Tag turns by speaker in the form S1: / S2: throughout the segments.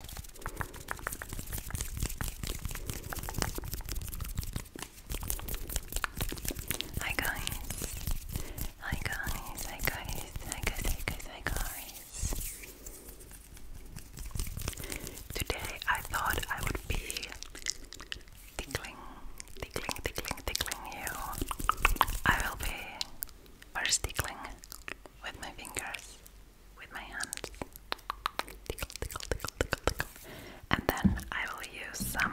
S1: Hi guys. Hi guys. Hi guys. Hi guys. Hi guys. Hi guys. Today I thought I would be tickling, tickling, tickling, tickling you. I will be first tickling with my fingers with my hands. Tickle, tickle, tickle, tickle, tickle. And then I will use some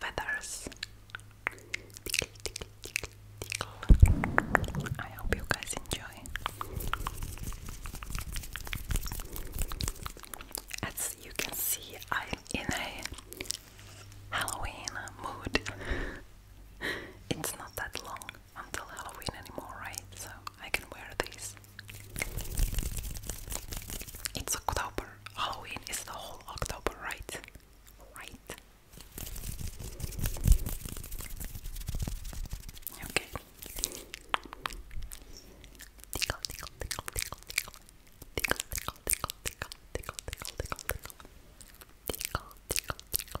S2: feathers. Tickle, tickle, tickle, tickle. I hope you guys enjoy. As you can see, I'm in a Halloween mood it's not that long until Halloween anymore, right? So I can wear these. It's October. Halloween is the whole October, right? Right. Okay. Tickle, tickle, tickle, tickle, tickle. Tickle, tickle, tickle, tickle, tickle, tickle, tickle, tickle. Tickle, tickle, tickle,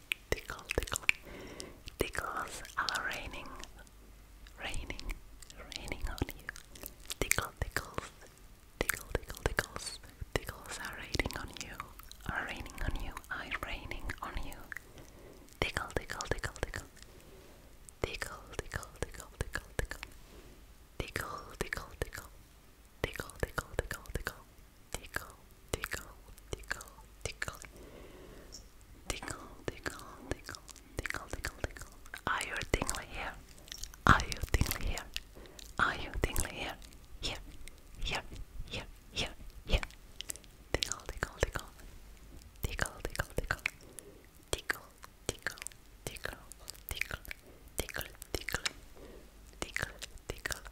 S1: tickle, tickle. Tickles are raining, raining, raining on you.
S3: Tickle, tickles, tickle, tickle, tickles. Tickles are raining on you, are raining on you, are raining on you. Tickle, tickle, tickle, tickle. Tickle, tickle, tickle, tickle, tickle. Tickle, tickle, tickle. Tickle, tickle, tickle, tickle tickle, tickle, tickle, tickle, tickle, tickle, tickle, tickle, tickle, tickle. Are you tingly here? Are you tingly here? Are you tingly here? Here, here, here, here, here. tickle, tickle, tickle, tickle, tickle, tickle, tickle, tickle, tickle, tickle, tickle, tickle, tickle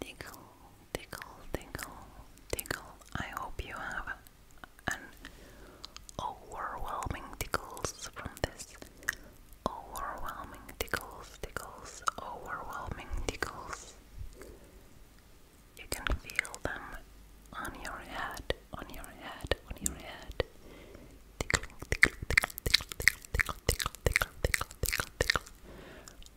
S3: Tickle, tickle, tickle, tickle. I hope you have an overwhelming tickles from this. Overwhelming tickles, tickles, overwhelming tickles. You can feel them on your head, on your head, on your head. Tickle, tickle, tickle, tickle, tickle, tickle, tickle, tickle, tickle, tickle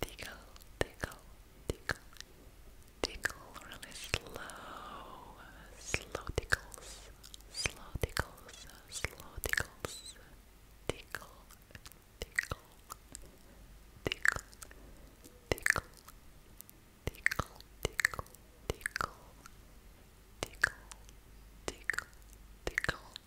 S3: tickle, tickle, tickle, tickle really slow, slow tickles, slow tickles, slow tickles, tickle, tickle, tickle, tickle, tickle, tickle, tickle, tickle, tickle, tickle.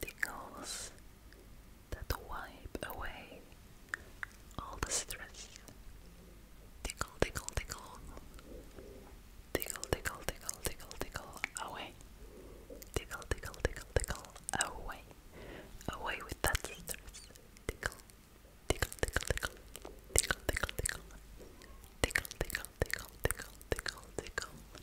S3: tingles that wipe away all the stress. Tickle, tickle, tickle. Tickle, tickle, tickle, tickle, tickle away. Tickle, tickle, tickle, tickle away. Away with that stress. Tickle, tickle, tickle, tickle. Tickle, tickle, tickle. Tickle, tickle, tickle, tickle, tickle, tickle.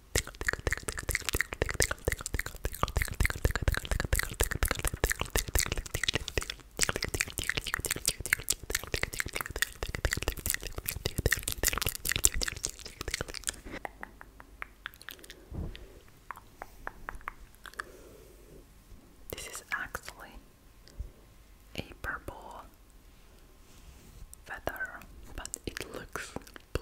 S3: This is actually a purple feather, but it looks blue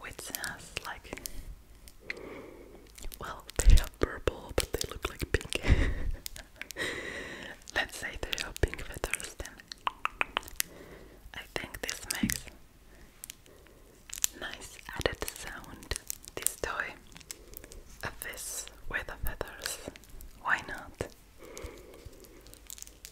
S4: which has like well they are purple but they look like pink let's say they are pink feathers then I think this makes nice added sound this toy a fist with the feathers why not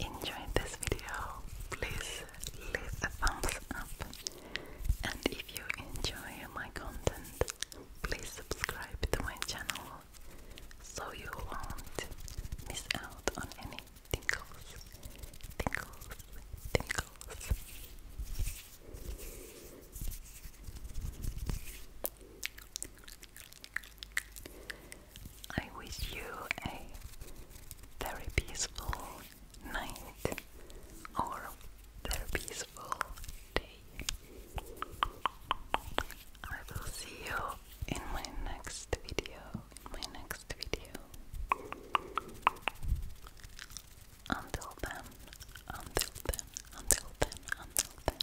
S3: enjoyed this video, please leave a thumbs up. And if you enjoy my content, please subscribe to my channel so you won't miss out on any tingles, tingles, tingles. I wish you a very peaceful night or very peaceful day. I will see you in my next video. In my next video. Until then, until then, until then, until then.